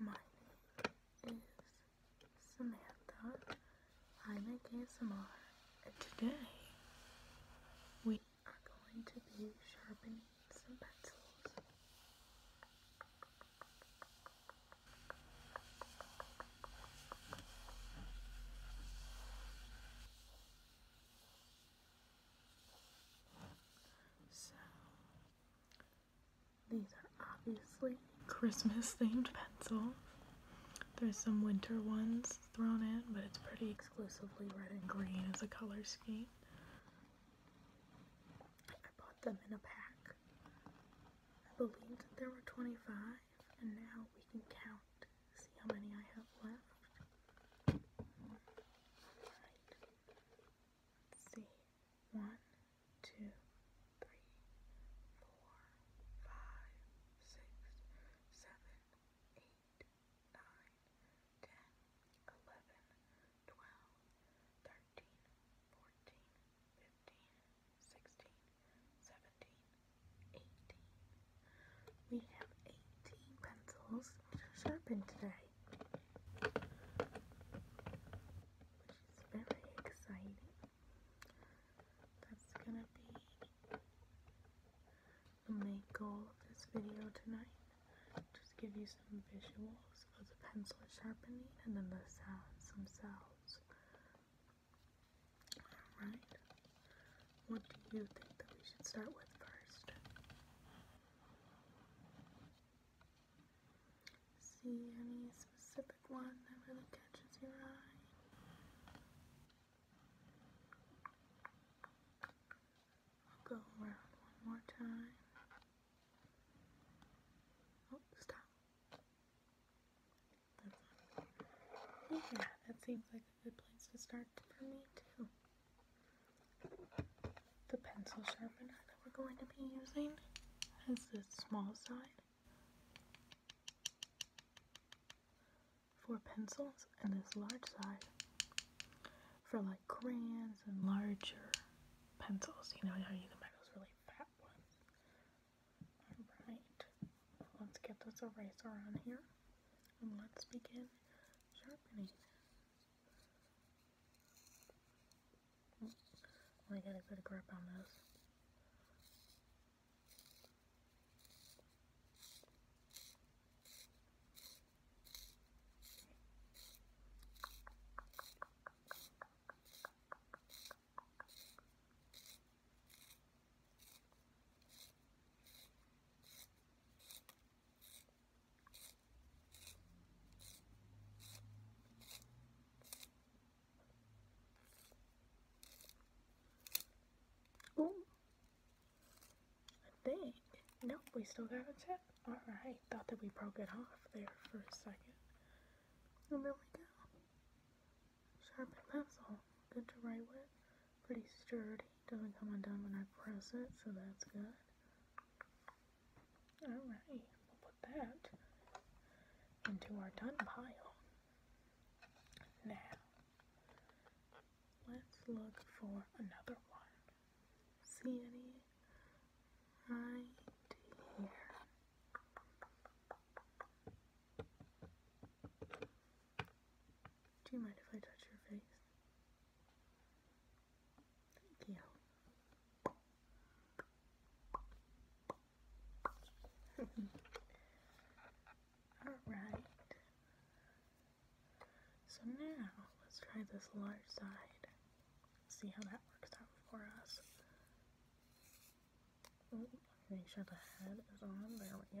Hello, my name is Samantha. I make ASMR, and today we are going to be sharpening some pencils. So, these are obviously Christmas themed pencils. There's some winter ones thrown in, but it's pretty exclusively red and green as a color scheme. I bought them in a pack. I believed there were 25, and now we can count see how many I have left. see. One, two, three, four, five, six, seven, eight, nine, ten, eleven, twelve, thirteen, fourteen, fifteen, sixteen, seventeen, eighteen. We have 18 pencils to sharpen today. Which is very exciting. That's gonna be the main goal of this video tonight. Just give you some visuals of the pencil sharpening and then the sounds themselves. Alright. What do you think that we should start with first? See any specific one that really catches your eye? I'll go around one more time. Oh, stop. Oh, yeah, that seems like a good place to start for me too. The pencil sharpener that we're going to be using is this small side for pencils and this large side for like crayons and larger pencils. You know how you can buy those really fat ones. Alright, let's get this eraser on here and let's begin sharpening. Oh, I got a good grip on this. Ooh. I think. Nope, we still got a tip. Alright, thought that we broke it off there for a second. And there we go. Sharpened pencil. Good to write with. Pretty sturdy. Doesn't come undone when I press it, so that's good. Alright, we'll put that into our done pile. Now, let's look for another one. See any? Right here. Do you mind if I touch your face? Thank you. Alright. So now, let's try this large side. See how that works out for us. make sure the head is on. There we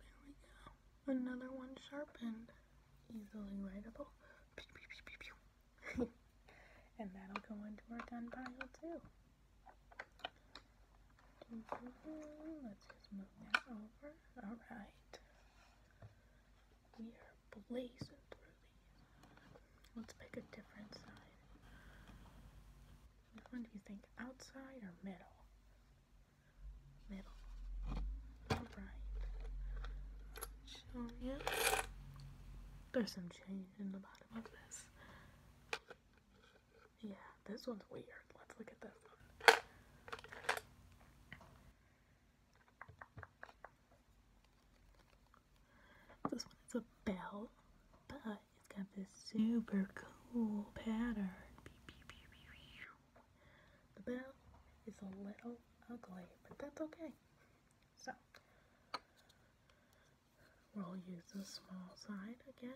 There we go. Another one sharpened. Easily writable. and that'll go into our gun pile too. Let's just move that over. Alright. We are blazing through Let's pick a different side. Which one do you think? Outside or middle? There's some change in the bottom of this. Yeah, this one's weird. Let's look at this This one is a bell, but it's got this super cool pattern. The bell is a little ugly, but that's okay. So, we'll use the small side again.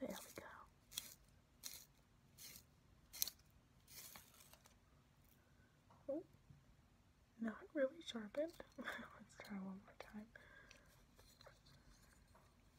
There we go. not really sharpened. Let's try one more time.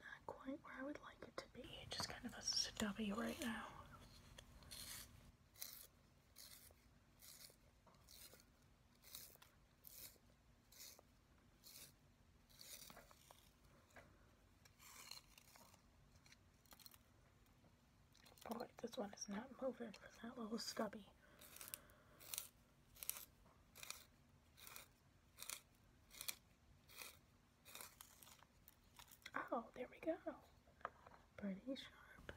Not quite where I would like it to be. It's just kind of a W right now. Oh this one is not moving that little stubby. Oh, there we go. Pretty sharp.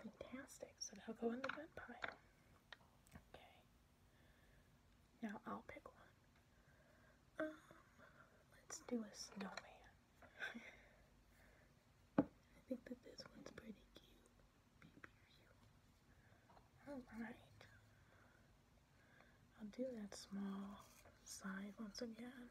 Fantastic. So that'll go in the bread pie. Okay. Now I'll pick one. Um, let's do a snowman. I think that this one's pretty cute. Alright. I'll do that small side once again.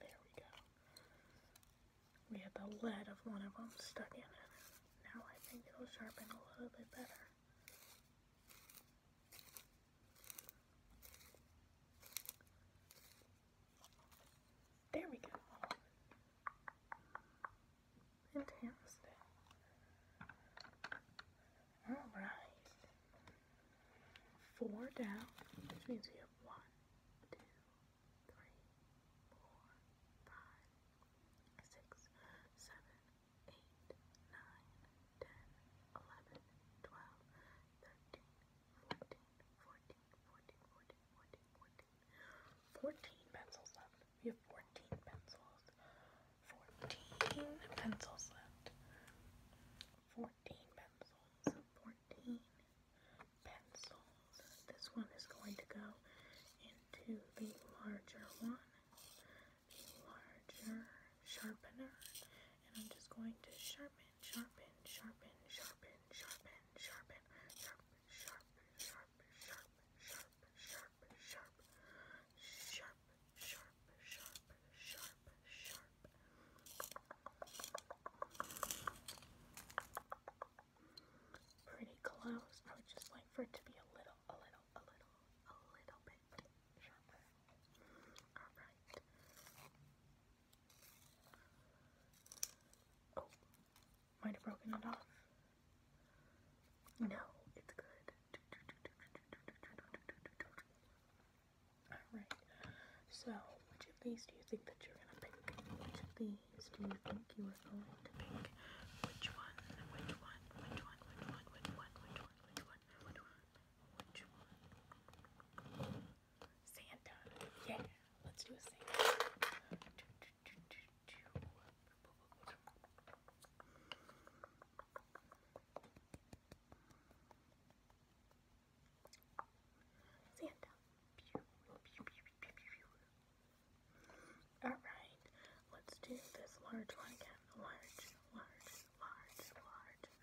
There we go. We had the lead of one of them stuck in it. Now I think it'll sharpen a little bit better. There we go. Fantastic. Alright. Four down, which means we have one, two, three, four, five, six, seven, 14 pencils left. We have 14 pencils. 14 pencils left. 14 pencils. 14 pencils. This one is going to go into the larger one larger sharpener and I'm just going to sharpen, sharpen, sharpen, sharpen, sharpen, sharpen, sharp, sharp, sharp, sharp, sharp, sharp, sharp, sharp, sharp, sharp, sharp, sharp. Pretty close. I would just like for it to be a little, a little, a little, a little bit sharper. Oh, might have broken it off. No, it's good. Alright, so which of these do you think that you're gonna pick? Which of these do you think you are going to pick? Which one? Which one? Which one? Which one? Which one? Which one? Which one? Which one? Santa. Yeah, let's do a Santa. Santa. Alright, let's do this large one again. Large, large, large, large,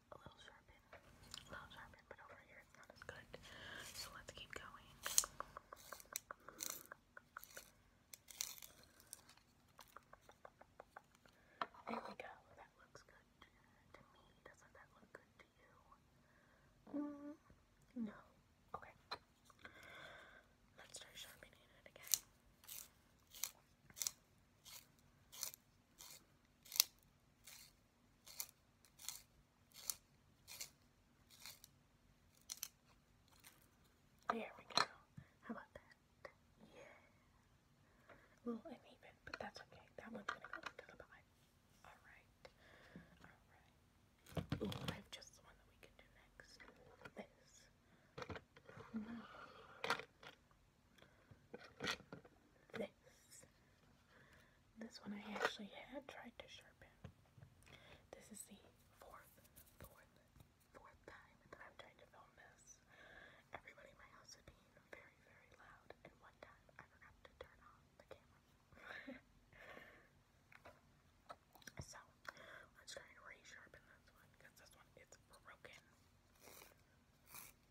a little sharpened, a little sharpened, but over here it's not as good. So let's keep going. There we go. That looks good to me. Doesn't that look good to you? Mm-hmm. no. Okay. Let's start sharpening it again. There we go. How about that? Yeah. Well, I mean but that's okay. That one's gonna go into the pie. Alright. Alright. Ooh, I have just one that we can do next. This this. This one I actually had tried to sharpen. This is the fourth, fourth, fourth time that I've tried to film this. Everybody in my house is being very, very loud, and one time I forgot to turn off the camera. so, let's try to resharpen this one because this one is broken.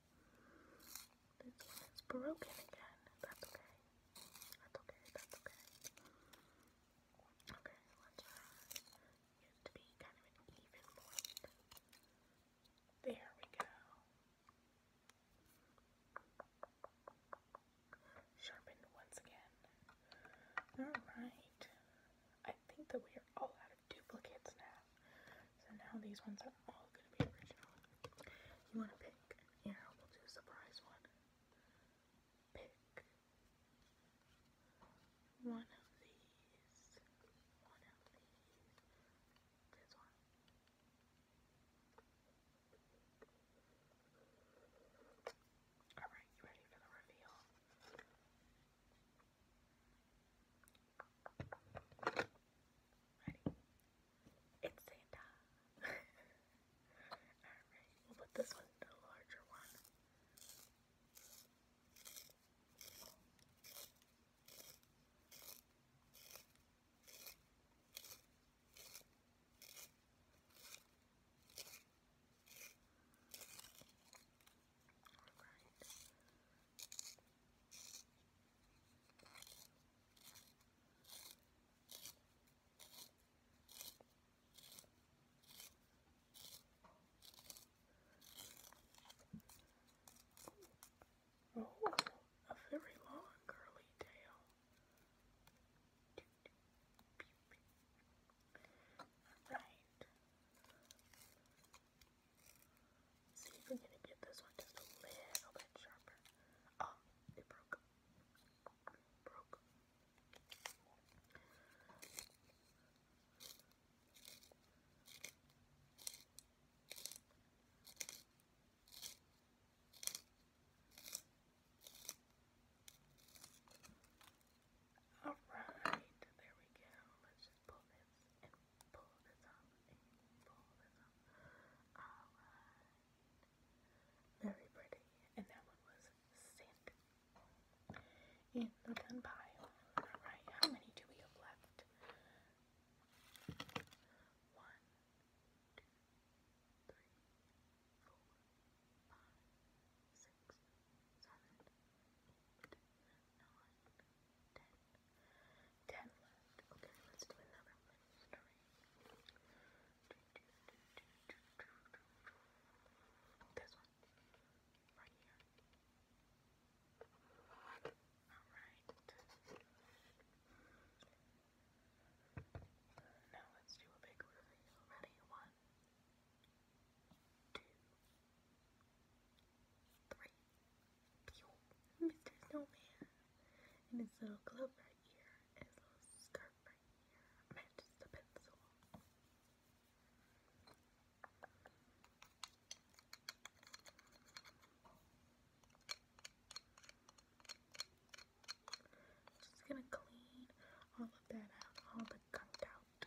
This one is broken again. That's okay. That's okay. That's okay. Okay, let's try. It used to be kind of an even point. There we go. Sharpened once again. Alright. I think that we are all out of duplicates now. So now these ones are all going to be original. You want to pick here, will do a surprise one. Pick one of these. One of these. This one. Alright, you ready for the reveal? Ready? It's Santa. Alright, we'll put this one a larger one. Alright. Oh, a very long curly tail. Right. see if we can get this one just a little bit sharper. Um, it broke. Broke. All right, there we go. Let's just pull this and pull this up and pull this up. All right. Very pretty. And that one was sick. In the gun pile. Alright, how many do we have left? One, two, three, four, five, six, seven, eight, nine, ten. Ten left. Okay, let's do another one. Alright. Now let's do a big reveal. Ready? One, two, three. Pew. Mr. Snowman and his little glove right here, and his little scarf right here I'm just gonna clean all of that out, all the gunk out.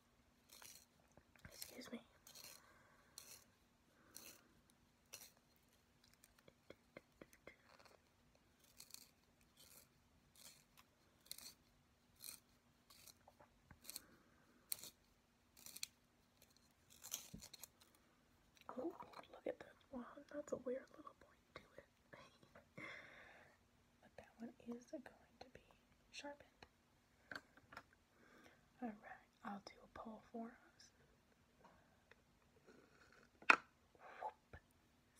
Excuse me. Oh, look at that one. That's a weird little point to it. but that one is going to be sharpened. Alright, I'll do a poll for us.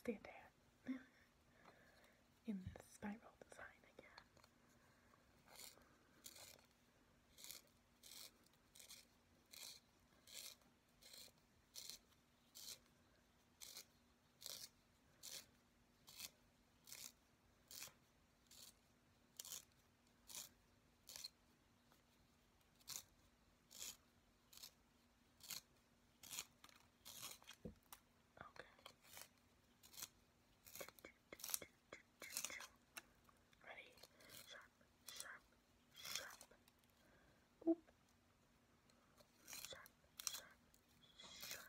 Stand there. In this spiral design again. Ready? Sharp, sharp, sharp. Oop. Sharp, sharp, sharp. Sharp, sharp,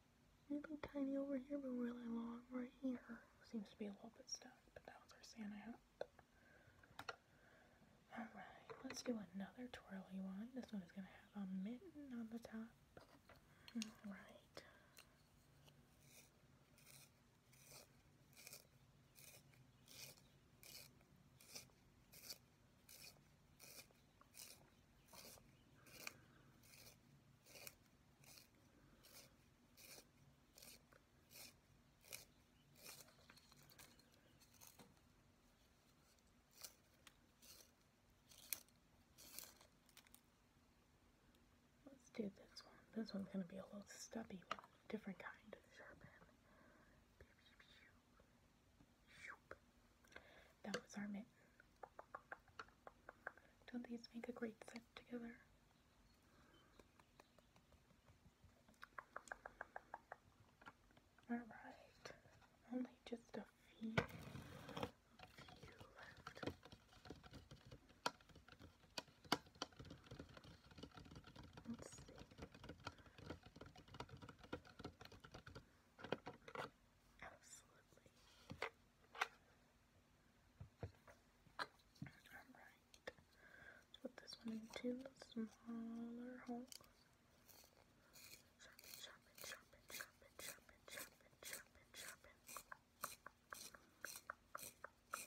Really tiny over here, but really long right here. Seems to be a little bit stuck, but that was our Santa hat. Alright, let's do another twirly one. This one is going to have a mitten on the top. Alright. Let's do this one. This one's going to be a little stubby one, different kind of sharp end. That was our don't these make a great set together? Alright, only just a few, few left. Let's see. Absolutely Alright. Let's put this one into smaller holes. Sharpen, sharpen, sharpen, sharpen, sharpen, sharpen, sharpen, sharpen. Alright,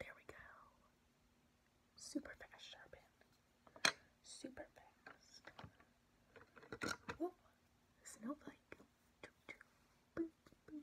there we go. Super fast sharpen. Super fast. Whoa. Snowflake. Boop, boop,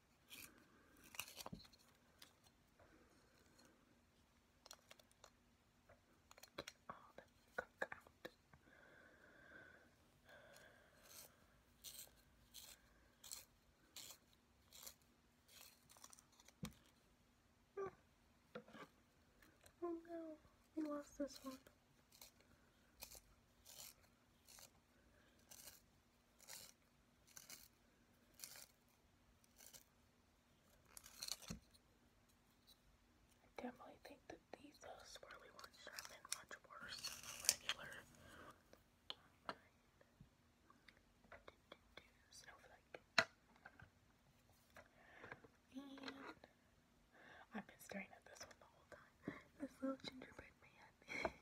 oh no, we lost this one. I definitely think that these uh, swirly ones have been much worse than regular. Snowflake. I've been staring at this one the whole time. This little gingerbread man.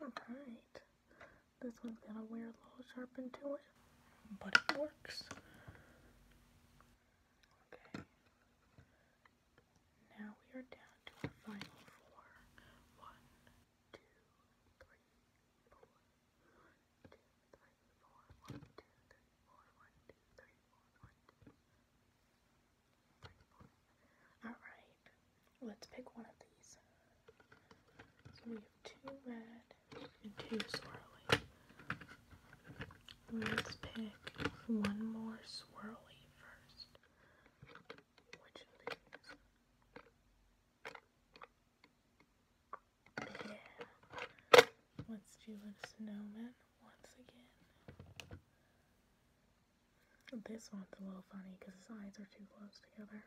Alright, this one's got a weird little sharpen to it, but it works. Okay, now we are down to our final four. One, two, three, four. One, two, three, four. One, two, three, four. One, two, three, four. Alright, let's pick one of these. So we have two red and two swirly. Let's pick one more swirly first. Which of Yeah. Let's do a snowman once again. This one's a little funny because his eyes are too close together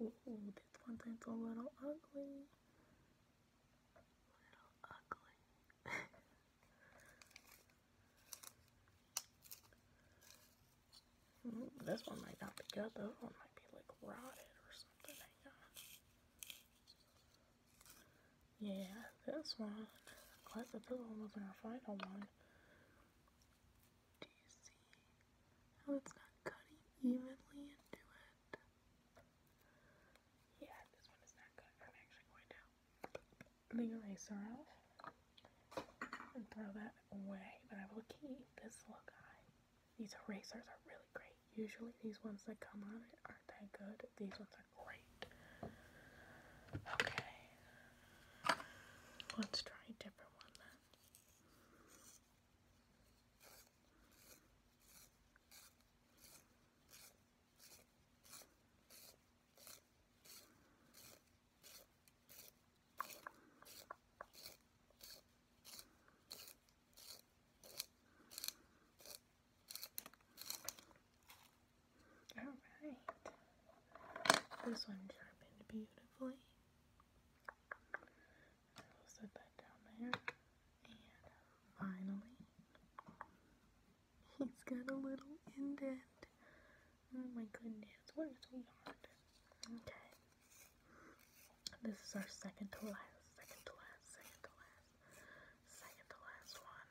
this one thing's a little ugly. Little ugly. this one might not be good. This one might be like rotted or something. Hang yeah, this one. Of the other wasn't our final one. Do you see not cutting evenly into it? Yeah, this one is not good. I'm actually going to the eraser off and throw that away, but I will keep this little guy. These erasers are really great. Usually these ones that come on it aren't that good. These ones are great. Okay. Let's try a different one then. Alright. This one sharpened beautifully. I'll set that down there. And finally, he's got a little indent. Oh my goodness, what is we on? Okay. This is our second to last, second to last, second to last, second to last one.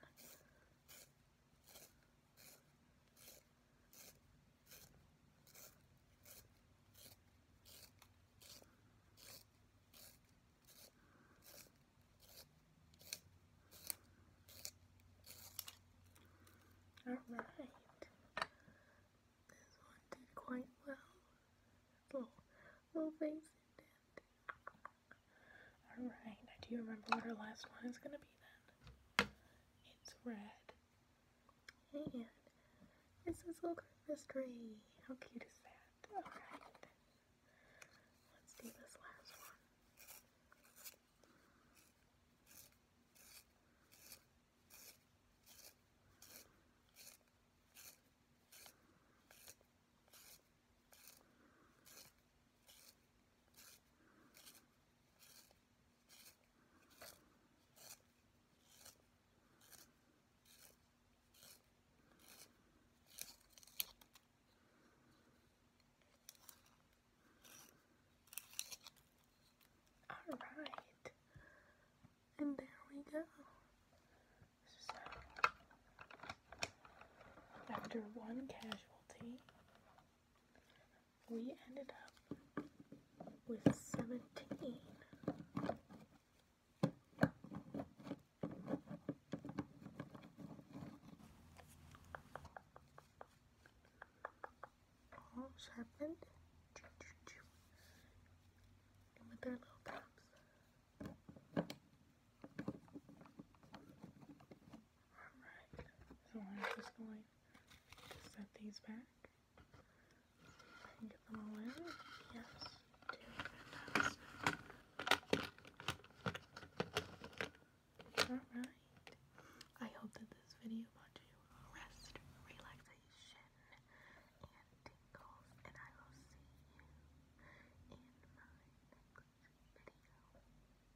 Alright, this one did quite well. Little, little face Alright, now do you remember what our last one is going to be then? It's red. And it's this little Christmas tree. How cute is that? Alright. Let's do this last one. Alright, and there we go. after one casualty, we ended up with 17. All sharpened and with their little caps. Alright, so I'm just going to set these back and get them all in. Yes, Alright, I hope that this video brought you rest, relaxation, and tingles, and I will see you in my next video.